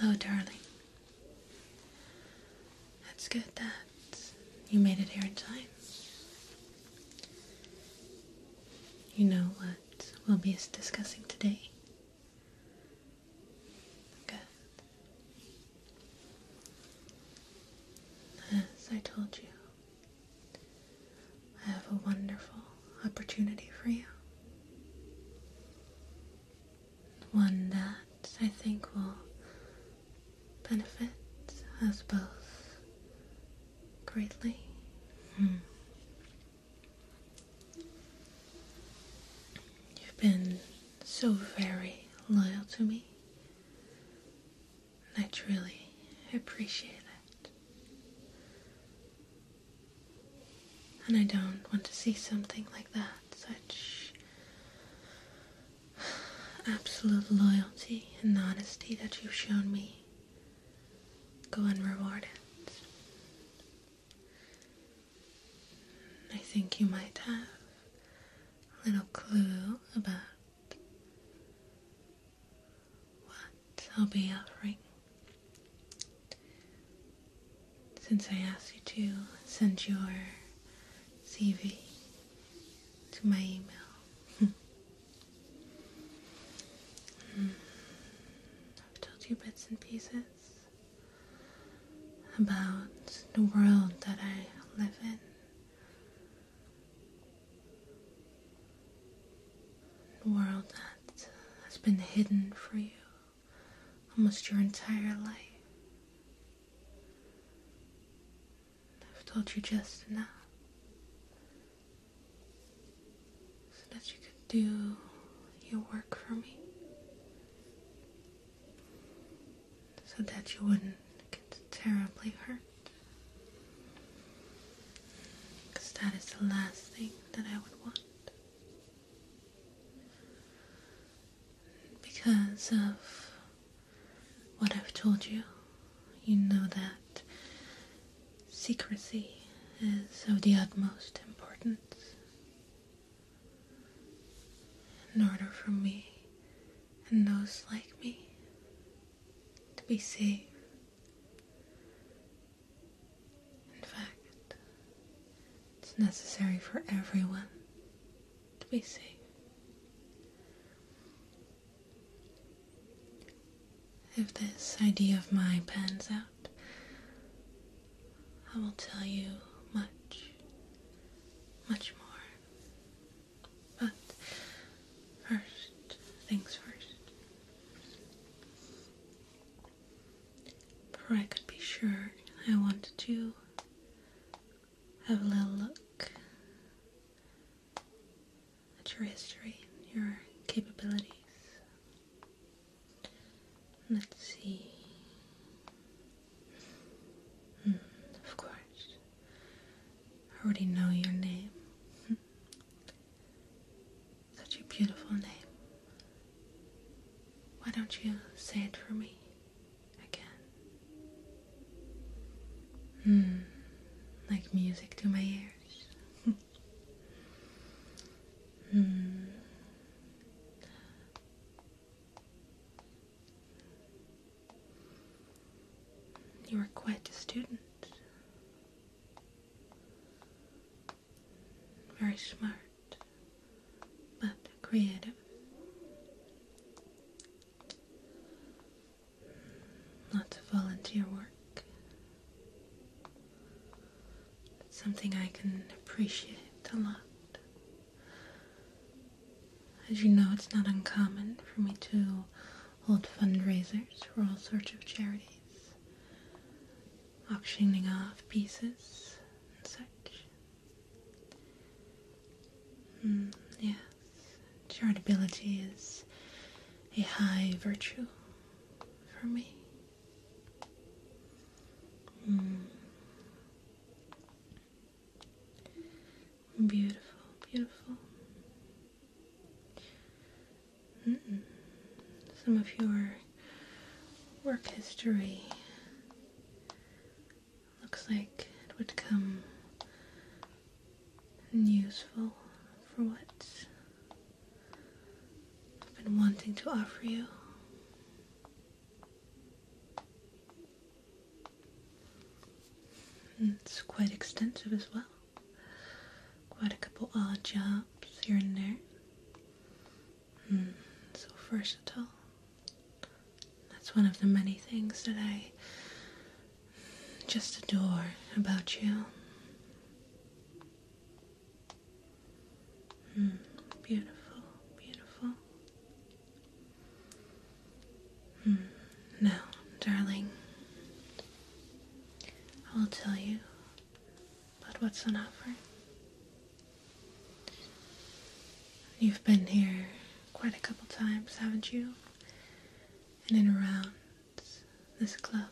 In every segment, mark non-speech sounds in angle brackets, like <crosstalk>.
Hello, darling. That's good that you made it here in time. You know what we'll be discussing today? As I told you, I have a wonderful opportunity for you. One that I think will benefit us both greatly. Hmm. You've been so very loyal to me, and I truly appreciate that. And I don't want to see something like that, such <sighs> absolute loyalty and honesty that you've shown me go unrewarded. I think you might have a little clue about what I'll be offering. Since I asked you to send your CV to my email. <laughs> I've told you bits and pieces about the world that I live in. The world that has been hidden from you almost your entire life. I've told you just enough so that you could do your work for me, so that you wouldn't get terribly hurt. Because that is the last thing that I would want. Because of what I've told you, you know that secrecy is of the utmost importance. In order for me and those like me to be safe. In fact, it's necessary for everyone to be safe. If this idea of mine pans out, I will tell you much, much more. But first things first. Before I could be sure, I wanted to have a little look at your history, your capabilities. Let's see. Hmm, of course. I already know your name. <laughs> Such a beautiful name. Why don't you say it for me? again. Hmm, like music to my ears. <laughs> Hmm. You are quite a student. Very smart, but creative. Lots of volunteer work. something I can appreciate a lot. As you know, it's not uncommon for me to hold fundraisers for all sorts of charities, auctioning off pieces and such. Mm, yes, charitability is a high virtue for me. Mm. Beautiful, beautiful. Some of your work history Looks like it would come useful for what I've been wanting to offer you. it's quite extensive as well. Quite a couple odd jobs here and there. Hmm, so versatile. That's one of the many things that I just adore about you. Hmm, beautiful, beautiful. Hmm, no, darling, I will tell you But what's on offer. You've been here quite a couple times, haven't you? And In around this club,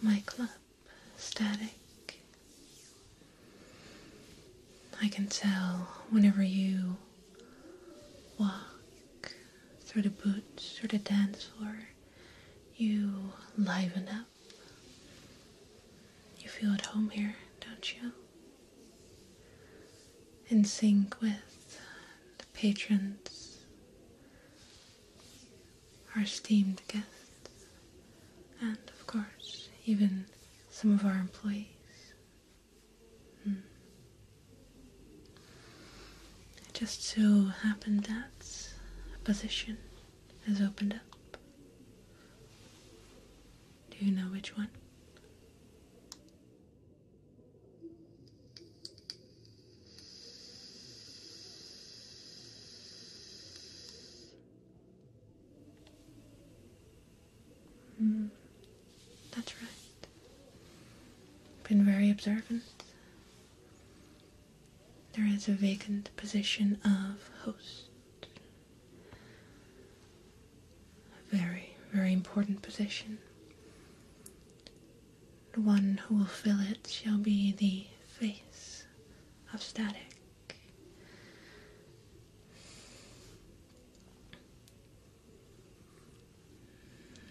my club, static. I can tell whenever you walk through the boots or the dance floor, you liven up. You feel at home here, don't you? In sync with uh, the patrons, our esteemed guests, and of course, even some of our employees. Hmm. It just so happened that a position has opened up. Do you know which one? Mm, that's right. Been very observant. There is a vacant position of host a very, very important position. The one who will fill it shall be the face of static.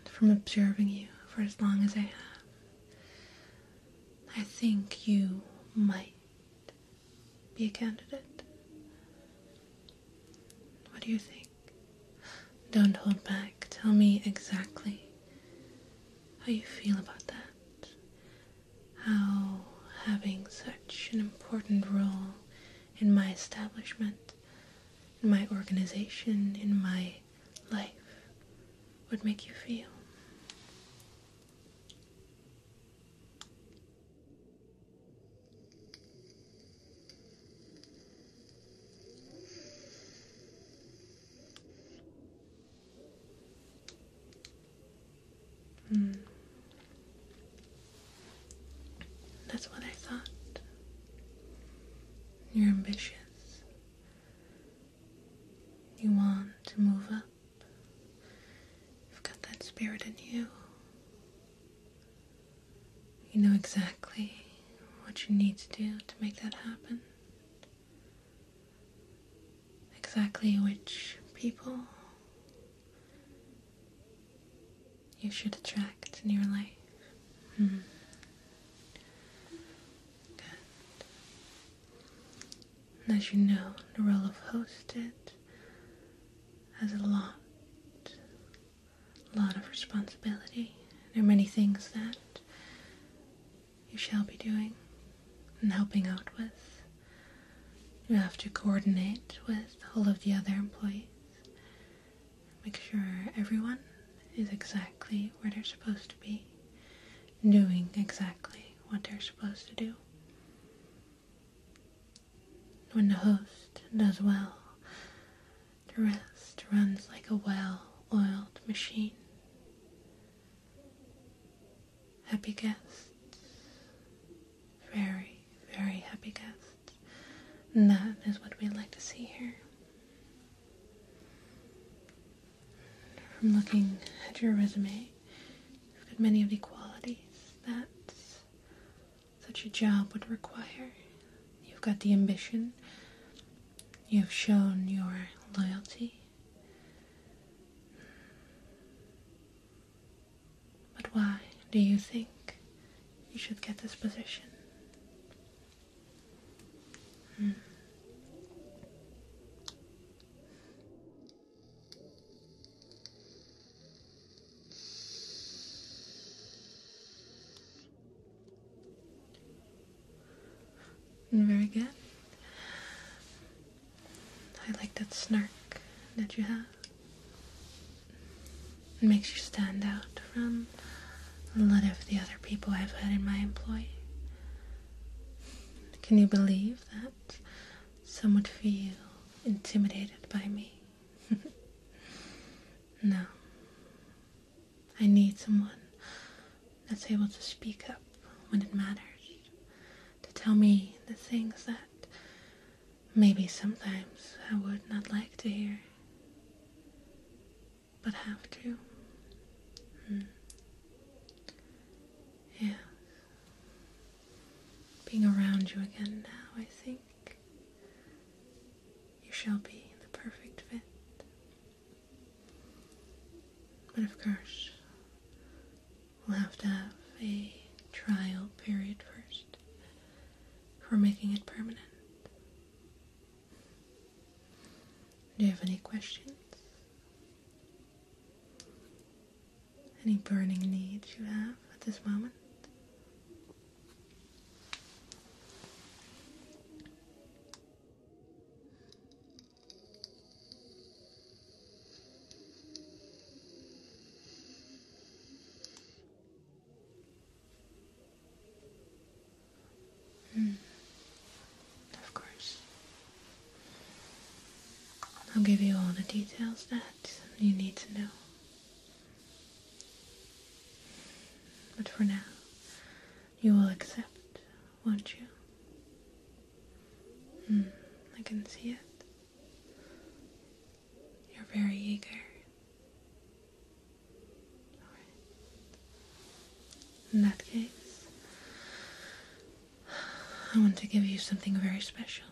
From observing you for as long as I have, I think you might be a candidate? What do you think? Don't hold back. Tell me exactly how you feel about that. How having such an important role in my establishment, in my organization, in my life would make you feel. Mm. That's what I thought. You're ambitious. You want to move up. You've got that spirit in you. You know exactly what you need to do to make that happen. Exactly which people you should attract in your life. -hmm. Good as you know, the role of hostess has a lot, a lot of responsibility. There are many things that you shall be doing and helping out with. You have to coordinate with all of the other employees. Make sure everyone is exactly where they're supposed to be, doing exactly what they're supposed to do. When the host does well, the rest runs like a well-oiled machine. Happy guests, very, very happy guests. And that is what we would like to see here. From looking at your resume, you've got many of the qualities that such a job would require. You've got the ambition, you've shown your loyalty. But why do you think you should get this position? Mm. Very good. I like that snark that you have. It makes you stand out from a lot of the other people I've had in my employ. Can you believe that some would feel intimidated by me? <laughs> no. I need someone that's able to speak up when it matters, to tell me the things that maybe sometimes I would not like to hear but have to. Hmm. Yeah. Being around you again now, I think. You shall be in the perfect fit. But of course, we'll have to have a trial period first for making it permanent. Do you have any questions? Any burning needs you have at this moment? Hmm. Of course. I'll give you all the details that you need to know. But for now, you will accept, won't you? Hmm, I can see it. You're very eager. In that case, I want to give you something very special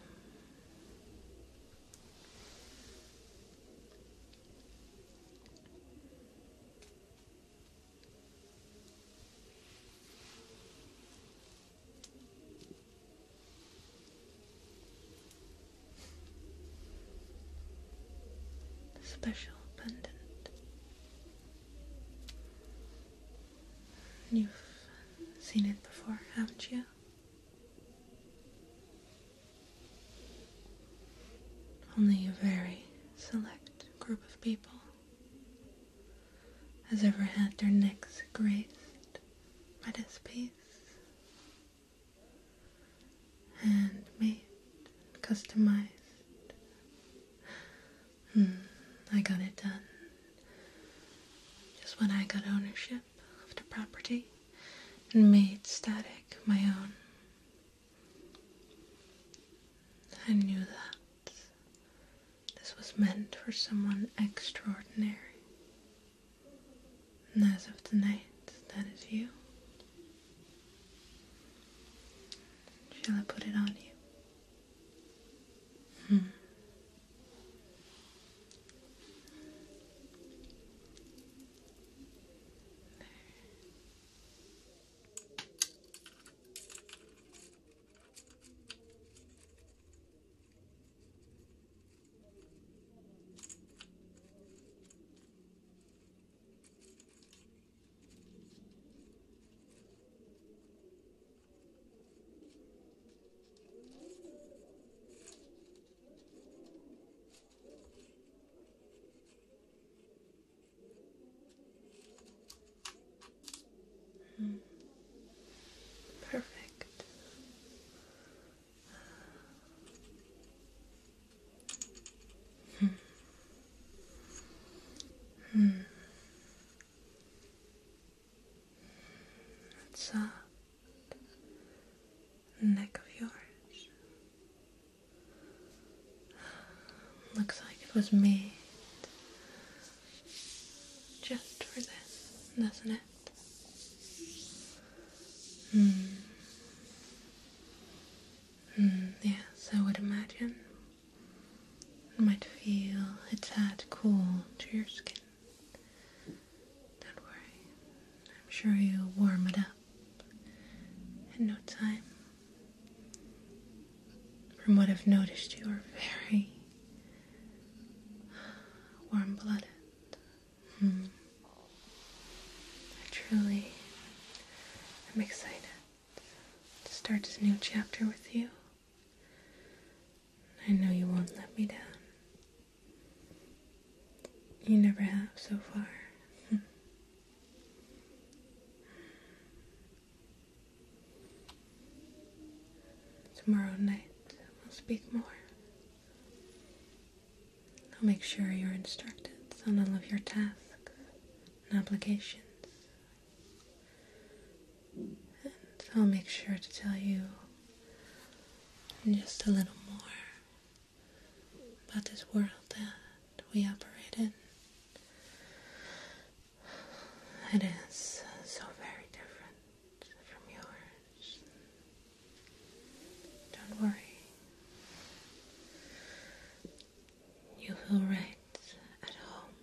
special pendant. You've seen it before, haven't you? Only a very select group of people has ever had their necks graced by this piece handmade and customized. Hmm, I got it done. Just when I got ownership of the property and made static my own. I knew that this was meant for someone extraordinary. And as of tonight, that is you. Shall I put it on you? Hmm. Hmm. Perfect. Hmm. Hmm. That soft neck of yours looks like it was made just for this, doesn't it? Hmm. hmm. yes, I would imagine. It might feel a tad cool to your skin. Don't worry, I'm sure you'll warm it up in no time. From what I've noticed, you are very warm blooded. Hmm. I truly am excited to start this new chapter with you. I know you won't let me down. You never have so far. <laughs> Tomorrow night, we'll speak more. I'll make sure you're instructed on all of your tasks and obligations. And I'll make sure to tell you just a little more about this world that we operate in. It is so very different from yours. Don't worry. You feel right at home.